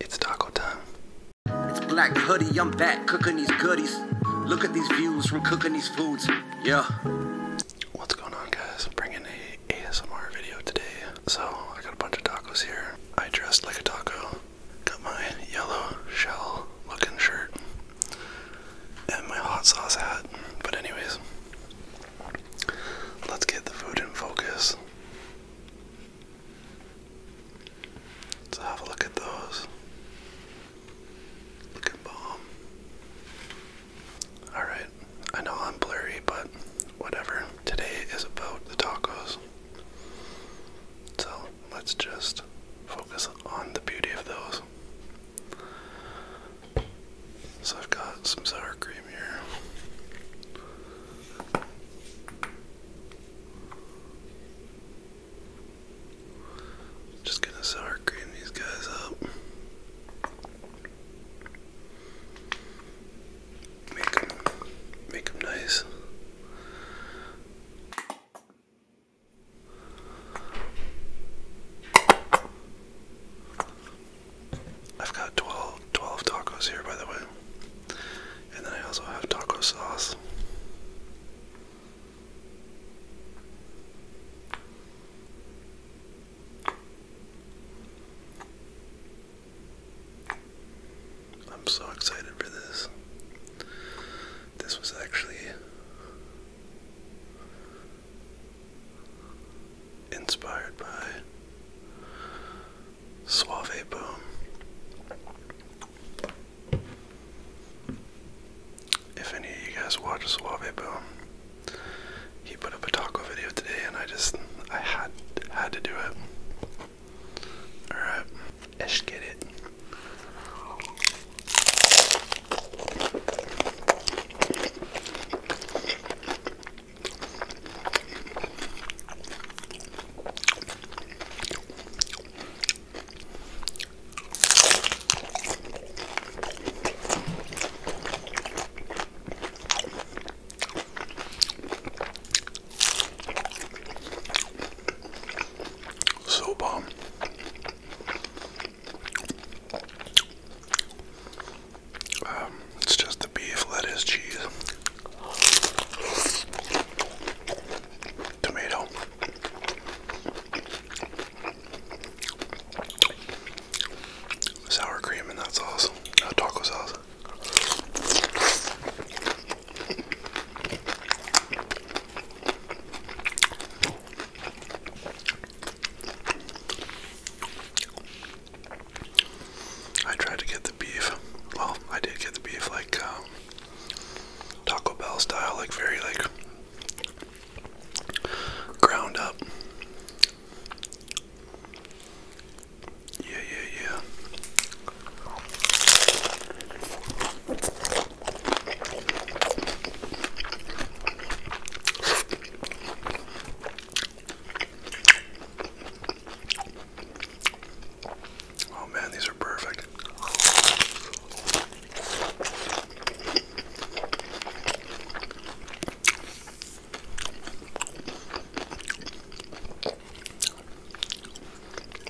It's taco time. It's Black Hoodie, I'm back cooking these goodies. Look at these views from cooking these foods. Yeah. What's going on, guys? I'm bringing a ASMR video today. So, I got a bunch of tacos here. I dressed like a taco. Got my yellow shell looking shirt and my hot sauce hat. But, anyways, let's get the food in focus. So have a look at those. Looking bomb. Alright, I know I'm blurry, but whatever. Today is about the tacos. So let's just focus on the beauty of those. So I've got some sour cream here. Just gonna start creaming these guys up. Make them, make them nice. I've got 12, tacos here, by the way. And then I also have taco sauce. I'm so excited for this. This was actually inspired by Suave Boom. If any of you guys watch Suave Boom, he put up a taco video today, and I just I had had to do it. All right, let's get it. So bomb. Um. Um, it's just the beef, lettuce, cheese, tomato. Sour cream and that sauce, uh, taco sauce. I tried to get the beef. Well, I did get the beef like um, Taco Bell style, like very like ground up. Yeah, yeah, yeah. Oh man, these are perfect.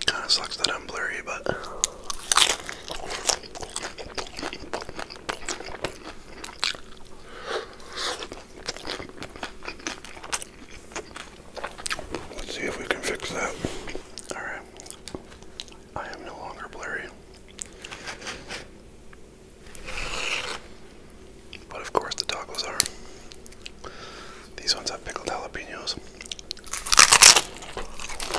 Kind of sucks that I'm blurry, but Let's see if we can fix that. Alright. I am no longer blurry. But of course, the tacos are. These ones have pickled jalapenos.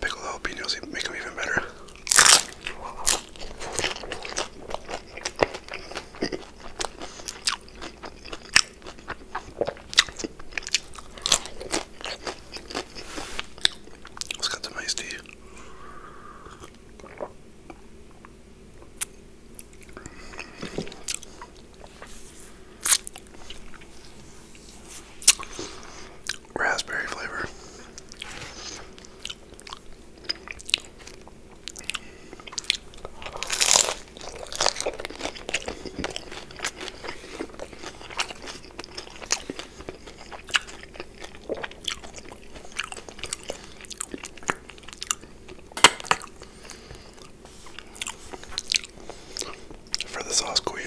Pickled jalapenos make them even better. Let's get some iced tea raspberry flavor for the sauce queen.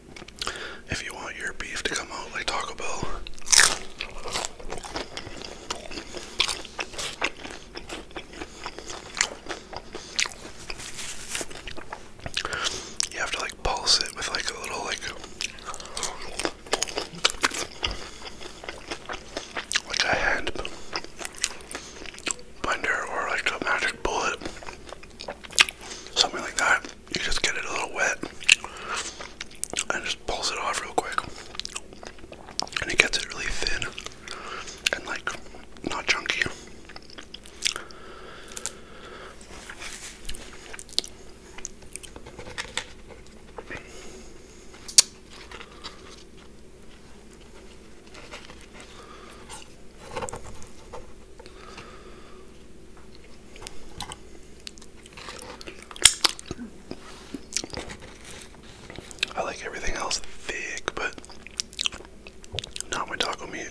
If you want your beef to come out like Taco Bell, you have to like pulse it with like a little like like a hand blender or like a magic bullet, something like that you just get it a little wet and just pulls it off real quick. And it gets it really thin and like not chunky. I like everything else thick, but not my taco meat.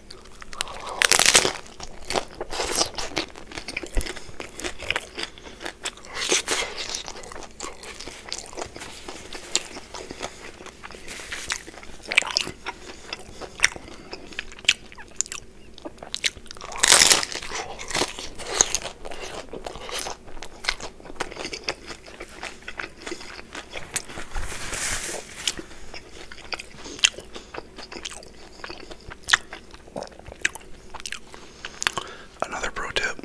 Another pro tip.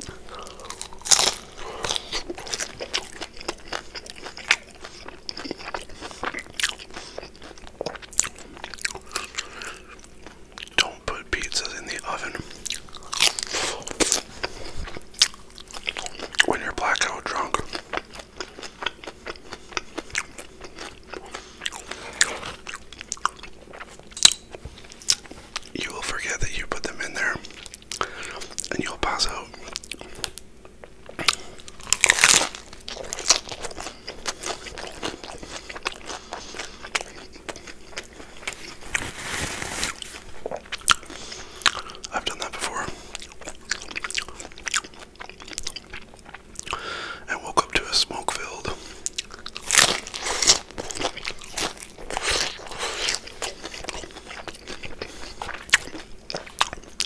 Don't put pizzas in the oven. When you're blackout drunk, you will forget that you put them in there and you'll pass out. I've done that before. And woke up to a smoke filled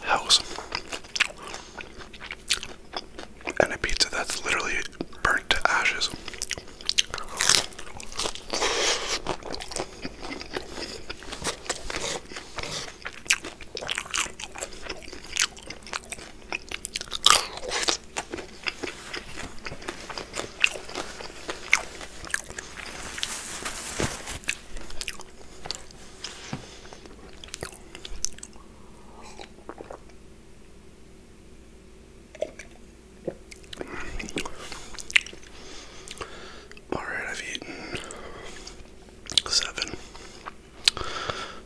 house and a pizza that's literally burnt to ashes. All right, I've eaten seven.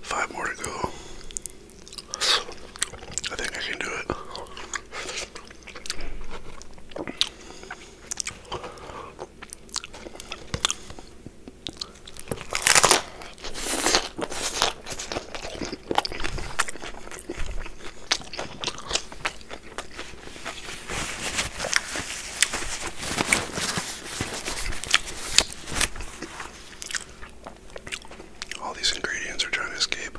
Five more to go. I think I can do it. All these ingredients are trying to escape.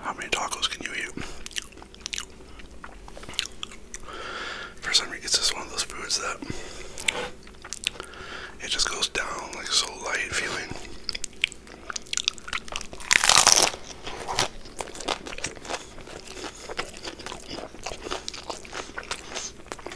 How many tacos can you eat? For some reason, it's just one of those foods that it just goes down like so light feeling.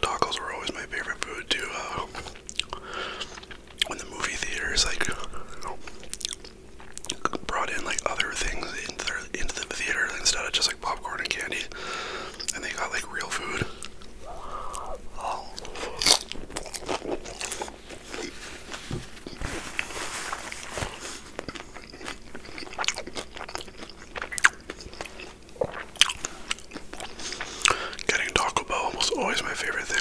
Tacos were always my favorite food too. Uh, when the movie theaters like brought in like other things into the theater instead of just like popcorn and candy, and they got like real food. Oh. Getting Taco Bell almost always my favorite thing.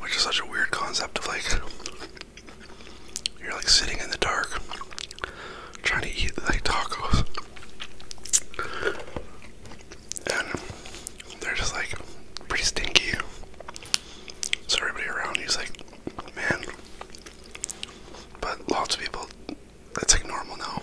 Which is such a weird concept of like you're like sitting in the dark trying to eat like tacos. And they're just like pretty stinky. So everybody around you's like, man. But lots of people, that's like normal now.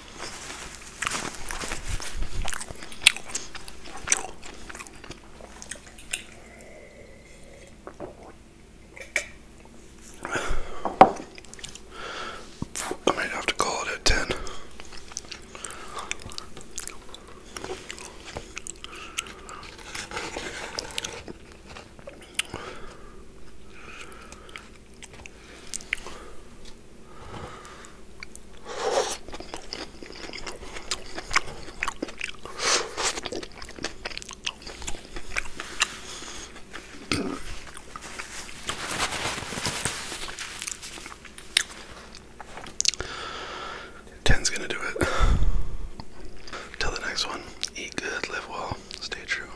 I might have to call it at 10. Ten's gonna do it. Till the next one, eat good, live well, stay true.